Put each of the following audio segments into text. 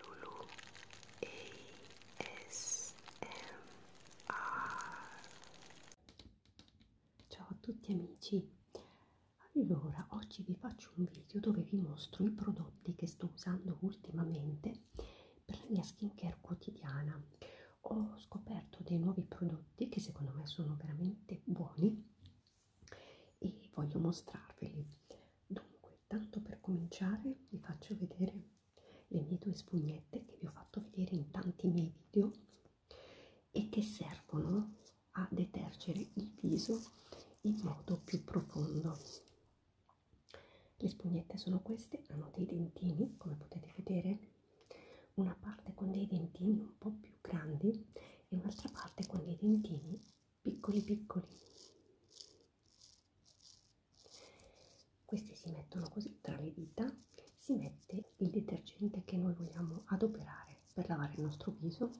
Lulu Ciao a tutti amici. Allora, oggi vi faccio un video dove vi mostro i prodotti che sto usando ultimamente per la mia skincare quotidiana. Ho scoperto dei nuovi prodotti che secondo me sono veramente buoni e voglio mostrarveli. Dunque, tanto per cominciare, vi faccio vedere le mie due spugnette che vi ho fatto vedere in tanti miei video e che servono a detergere il viso in modo più profondo. Le spugnette sono queste, hanno dei dentini, come potete vedere, una parte con dei dentini un po' più grandi e un'altra parte con dei dentini piccoli piccoli questi si mettono così tra le dita si mette il detergente che noi vogliamo adoperare per lavare il nostro viso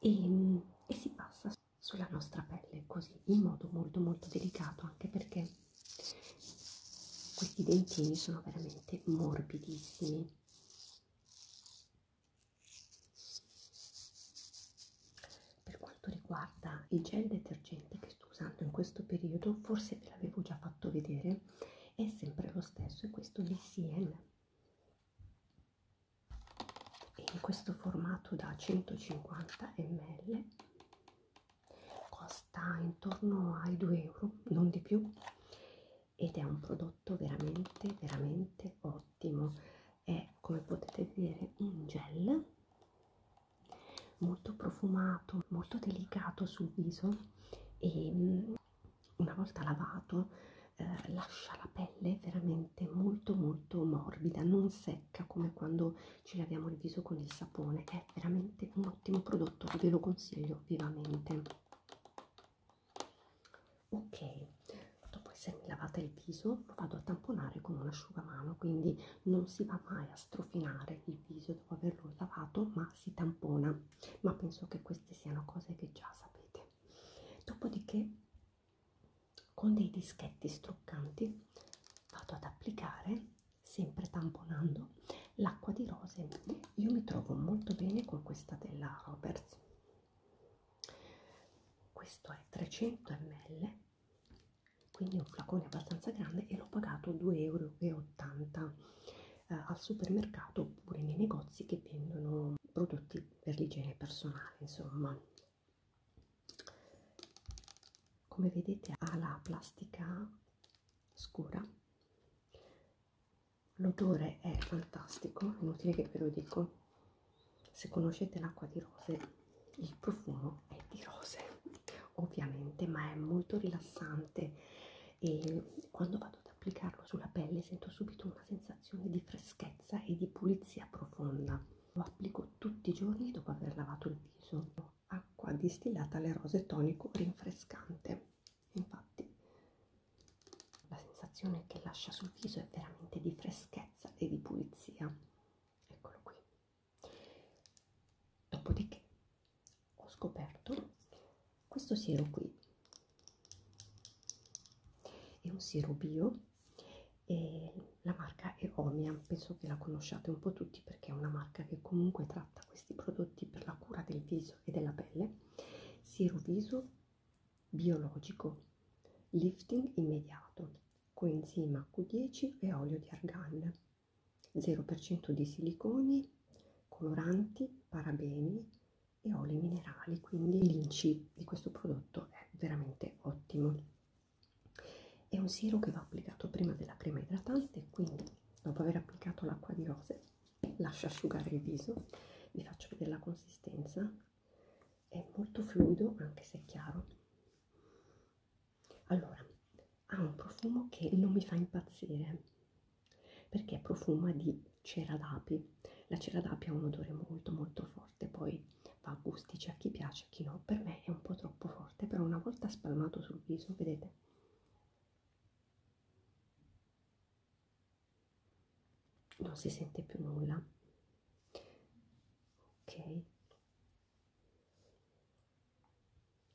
e, e si passa sulla nostra pelle così in modo molto molto delicato anche perché questi dentini sono veramente morbidissimi per quanto riguarda il gel detergente che sto usando in questo periodo, forse ve l'avevo già fatto vedere, è sempre lo stesso, è questo di CN. È in questo formato da 150 ml, costa intorno ai 2 euro, non di più, ed è un prodotto veramente, veramente ottimo ottimo è come potete vedere un gel molto profumato molto delicato sul viso e mm, una volta lavato eh, lascia la pelle veramente molto molto morbida non secca come quando ci laviamo il viso con il sapone è veramente un ottimo prodotto ve lo consiglio vivamente ok dopo essermi lavata il viso lo vado a tamponare con un asciugamano quindi non si va mai a strofinare il viso dopo averlo lavato ma si tampona ma penso che queste siano cose che già sapete dopodiché con dei dischetti struccanti vado ad applicare sempre tamponando l'acqua di rose io mi trovo molto bene con questa della Roberts questo è 300 ml quindi un flacone abbastanza grande e l'ho pagato 2,80 euro eh, al supermercato oppure nei negozi che vendono prodotti per l'igiene personale insomma come vedete ha la plastica scura l'odore è fantastico inutile che ve lo dico se conoscete l'acqua di rose il profumo è di rose ovviamente ma è molto rilassante e quando vado ad applicarlo sulla pelle sento subito una sensazione di freschezza e di pulizia profonda lo applico tutti i giorni dopo aver lavato il viso acqua distillata alle rose tonico rinfrescante infatti la sensazione che lascia sul viso è veramente di freschezza e di pulizia. Eccolo qui. Dopodiché ho scoperto questo siero qui. È un siero bio e la marca è Omia, penso che la conosciate un po' tutti perché è una marca che comunque tratta questi prodotti per la cura del viso e della pelle. Siero viso biologico, lifting immediato, coenzima Q10 e olio di argan, 0% di siliconi, coloranti, parabeni e oli minerali, quindi l'inci di questo prodotto è veramente ottimo. È un siero che va applicato prima della crema idratante, quindi dopo aver applicato l'acqua di rose lascia asciugare il viso vi faccio vedere la consistenza è molto fluido anche se è chiaro allora ha un profumo che non mi fa impazzire perché profuma di cera d'api la cera d'api ha un odore molto molto forte poi va a gusti c'è a chi piace a chi no per me è un po' troppo forte però una volta spalmato sul viso vedete non si sente più nulla ok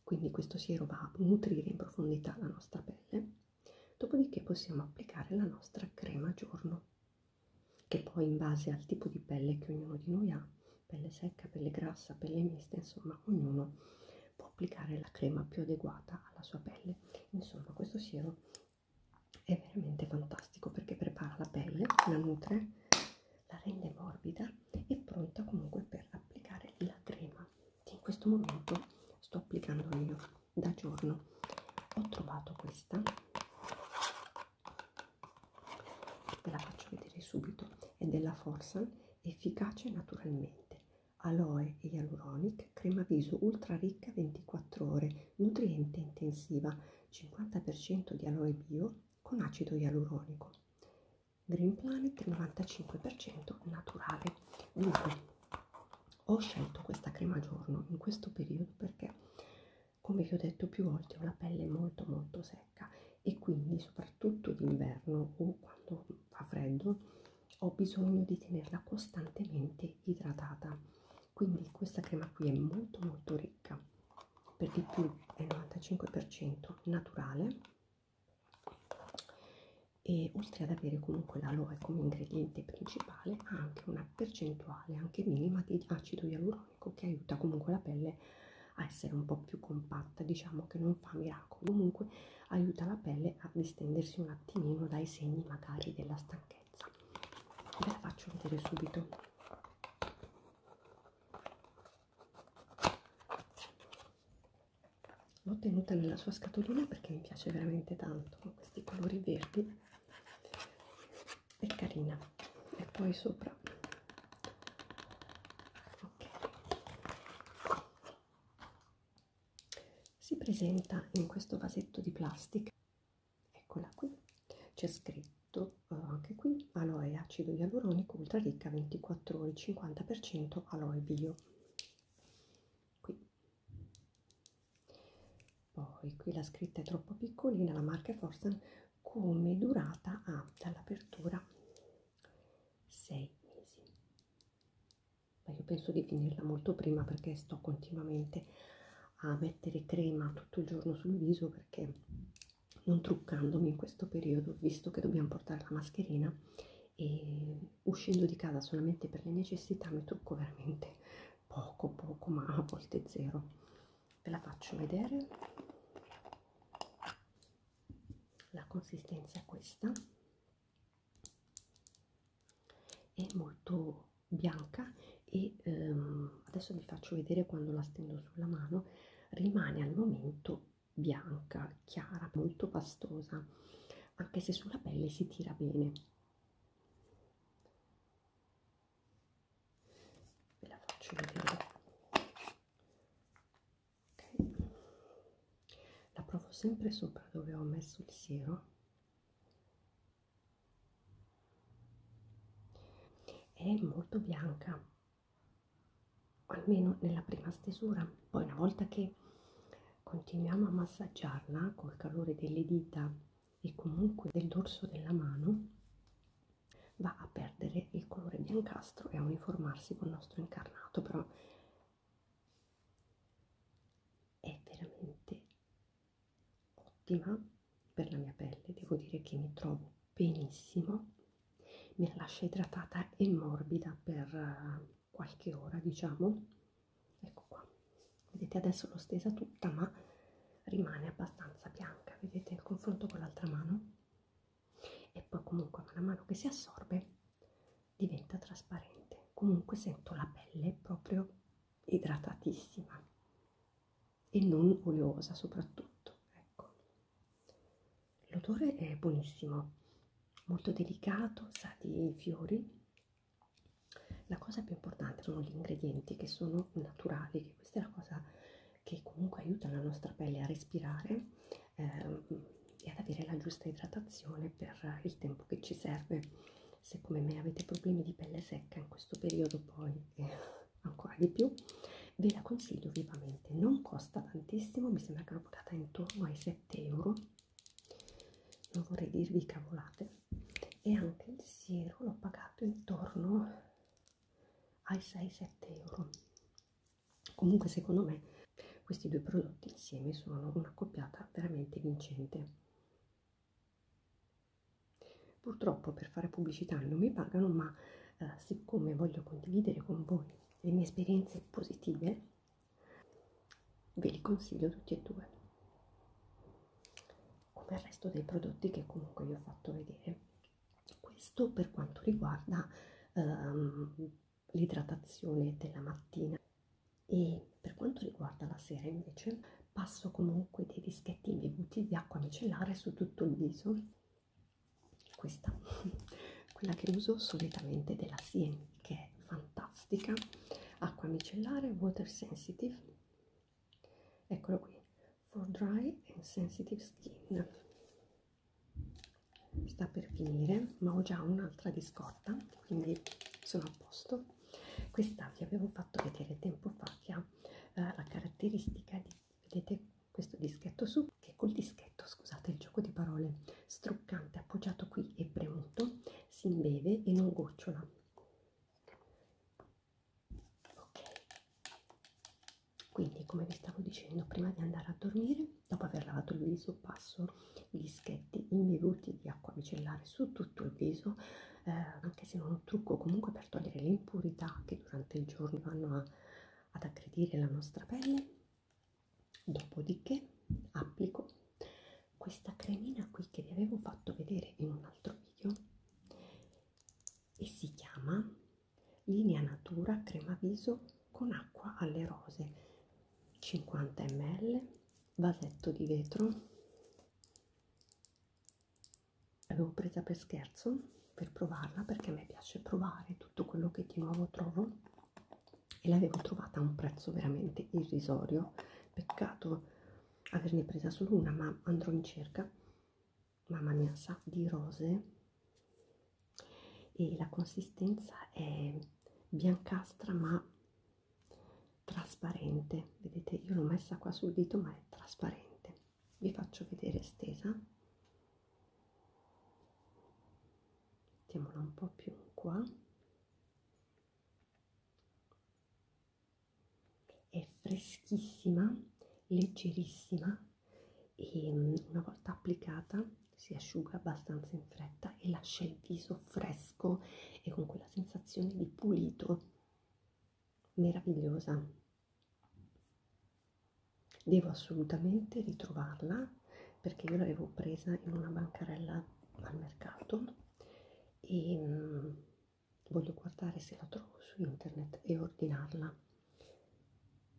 quindi questo siero va a nutrire in profondità la nostra pelle dopodiché possiamo applicare la nostra crema giorno che poi in base al tipo di pelle che ognuno di noi ha pelle secca pelle grassa pelle mista insomma ognuno può applicare la crema più adeguata alla sua pelle insomma questo siero questo è veramente fantastico perché prepara la pelle, la nutre, la rende morbida e pronta comunque per applicare la crema che in questo momento sto applicando io da giorno. Ho trovato questa, ve la faccio vedere subito, è della Forsan, efficace naturalmente, Aloe e Hyaluronic, crema viso ultra ricca 24 ore, nutriente intensiva, 50% di aloe bio con acido ialuronico. Green Planet 95% naturale. Dunque, ho scelto questa crema giorno in questo periodo perché, come vi ho detto più volte, ho la pelle molto molto secca e quindi soprattutto d'inverno o quando fa freddo ho bisogno di tenerla costantemente idratata quindi questa crema qui è molto molto ricca per di più è 95% naturale e oltre ad avere comunque l'aloe come ingrediente principale ha anche una percentuale anche minima di acido ialuronico che aiuta comunque la pelle a essere un po' più compatta diciamo che non fa miracoli comunque aiuta la pelle a distendersi un attimino dai segni magari della stanchezza ve la faccio vedere subito l'ho tenuta nella sua scatolina perché mi piace veramente tanto con questi colori verdi è carina e poi sopra ok si presenta in questo vasetto di plastica eccola qui c'è scritto eh, anche qui aloe acido ialuronico ultra ricca 24 ore 50% aloe bio qui poi qui la scritta è troppo piccolina la marca Forsten come durata ha dall'apertura 6 mesi ma io penso di finirla molto prima perché sto continuamente a mettere crema tutto il giorno sul viso perché non truccandomi in questo periodo visto che dobbiamo portare la mascherina e uscendo di casa solamente per le necessità mi trucco veramente poco poco ma a volte zero ve la faccio vedere la consistenza è questa è molto bianca e ehm, adesso vi faccio vedere quando la stendo sulla mano rimane al momento bianca chiara molto pastosa anche se sulla pelle si tira bene ve la faccio vedere ok la provo sempre sopra dove ho messo il siero è molto bianca almeno nella prima stesura poi una volta che continuiamo a massaggiarla col calore delle dita e comunque del dorso della mano va a perdere il colore biancastro e a uniformarsi col nostro incarnato però è veramente ottima per la mia pelle devo dire che mi trovo benissimo me la lascia idratata e morbida per eh, qualche ora diciamo ecco qua vedete adesso l'ho stesa tutta ma rimane abbastanza bianca vedete il confronto con l'altra mano e poi comunque man mano che si assorbe diventa trasparente comunque sento la pelle proprio idratatissima e non oleosa soprattutto ecco l'odore è buonissimo molto delicato sa di fiori la cosa più importante sono gli ingredienti che sono naturali che questa è la cosa che comunque aiuta la nostra pelle a respirare eh, e ad avere la giusta idratazione per il tempo che ci serve. Se come me avete problemi di pelle secca in questo periodo poi eh, ancora di più, ve la consiglio vivamente. Non costa tantissimo, mi sembra che l'ho pagata intorno ai 7 euro. Non vorrei dirvi cavolate. E anche il siero l'ho pagato intorno ai 6-7 euro comunque secondo me questi due prodotti insieme sono una coppiata veramente vincente purtroppo per fare pubblicità non mi pagano ma eh, siccome voglio condividere con voi le mie esperienze positive ve li consiglio tutti e due come il resto dei prodotti che comunque vi ho fatto vedere questo per quanto riguarda ehm, l'idratazione della mattina e per quanto riguarda la sera invece passo comunque dei dischettini bevuti di acqua micellare su tutto il viso questa quella che uso solitamente della Sien che è fantastica acqua micellare water sensitive eccolo qui for dry and sensitive skin sta per finire ma ho già un'altra di scorta quindi sono a posto questa vi avevo fatto vedere tempo fa che ha eh, la caratteristica di vedete questo dischetto su che col dischetto scusate il gioco di parole struccante appoggiato qui e premuto si imbeve e non gocciola ok quindi come vi stavo dicendo prima di andare a dormire dopo aver lavato il viso passo gli schetti imbevuti di acqua micellare su tutto il viso eh, anche se non un trucco comunque per togliere le impurità che durante il giorno vanno a, ad aggredire la nostra pelle dopodiché applico questa cremina qui che vi avevo fatto vedere in un altro video e si chiama linea natura crema viso con acqua alle rose 50 ml vasetto di vetro l'avevo presa per scherzo per provarla perché a me piace provare tutto quello che di nuovo trovo e l'avevo trovata a un prezzo veramente irrisorio peccato averne presa solo una ma andrò in cerca mamma mia sa di rose e la consistenza è biancastra ma trasparente vedete io l'ho messa qua sul dito ma è trasparente vi faccio vedere stesa mettiamola un po più qua è freschissima leggerissima e mm, una volta applicata si asciuga abbastanza in fretta e lascia il viso fresco e con quella sensazione di pulito meravigliosa devo assolutamente ritrovarla perché io l'avevo presa in una bancarella al mercato e mm, voglio guardare se la trovo su internet e ordinarla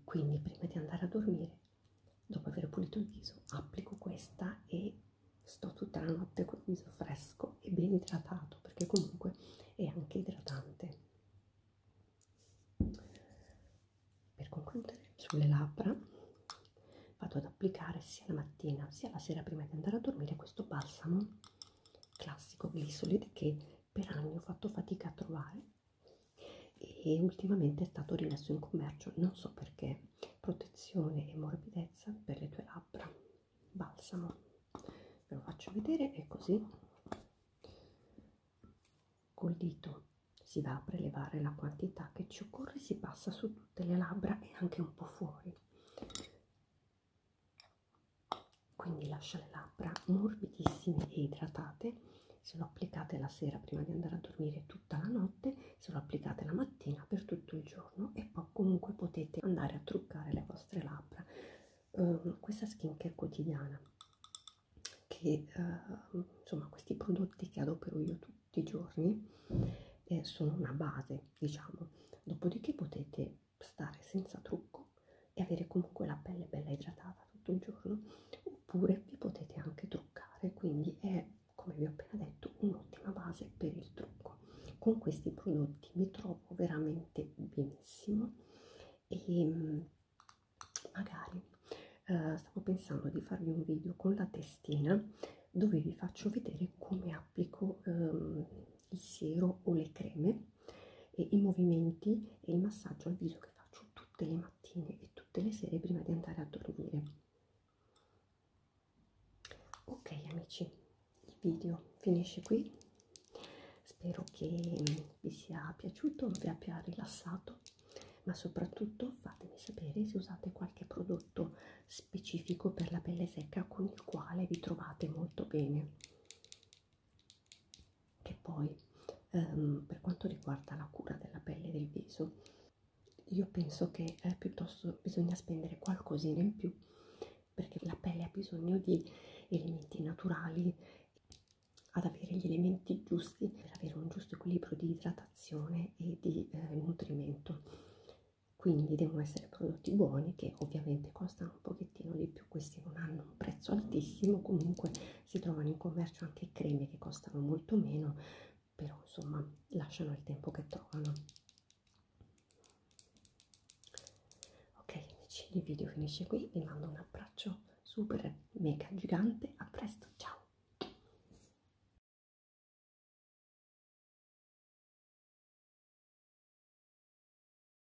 quindi prima di andare a dormire, dopo aver pulito il viso, applico questa e sto tutta la notte col viso fresco e ben idratato, perché comunque è anche idratante. Per concludere, sulle labbra vado ad applicare sia la mattina sia la sera prima di andare a dormire questo balsamo classico glisolid che per anni ho fatto fatica a trovare e ultimamente è stato rimesso in commercio, non so perché, protezione e morbidezza per le tue labbra, balsamo, ve lo faccio vedere, è così, col dito si va a prelevare la quantità che ci occorre, si passa su tutte le labbra e anche un po' fuori quindi lascia le labbra morbidissime e idratate se lo applicate la sera prima di andare a dormire tutta la notte se lo applicate la mattina per tutto il giorno e poi comunque potete andare a truccare le vostre labbra uh, questa skincare quotidiana che uh, insomma questi prodotti che adopero io tutti i giorni eh, sono una base diciamo dopodiché potete stare senza trucco e avere comunque la pelle bella idratata tutto il giorno oppure vi potete anche truccare quindi è come vi ho appena detto un'ottima base per il trucco con questi prodotti mi trovo veramente benissimo e mm, magari eh, stavo pensando di farvi un video con la testina dove vi faccio vedere come applico ehm, il siero o le creme e i movimenti e il massaggio al viso che faccio tutte le mattine e tutte le sere prima di andare a dormire ok amici il video finisce qui spero che mm, vi sia piaciuto vi abbia rilassato ma soprattutto fatemi sapere se usate qualche prodotto specifico per la pelle secca con il quale vi trovate molto bene e poi ehm, per quanto riguarda la cura della pelle e del viso, io penso che eh, piuttosto bisogna spendere qualcosina in più perché la pelle ha bisogno di elementi naturali ad avere gli elementi giusti per avere un giusto equilibrio di idratazione e di eh, nutrimento quindi devono essere prodotti buoni che ovviamente costano un pochettino pochettino di più questi non hanno un prezzo altissimo comunque si trovano in commercio anche creme che costano molto meno però insomma lasciano il tempo che trovano ok amici il video finisce qui vi mando un abbraccio super mega gigante a presto ciao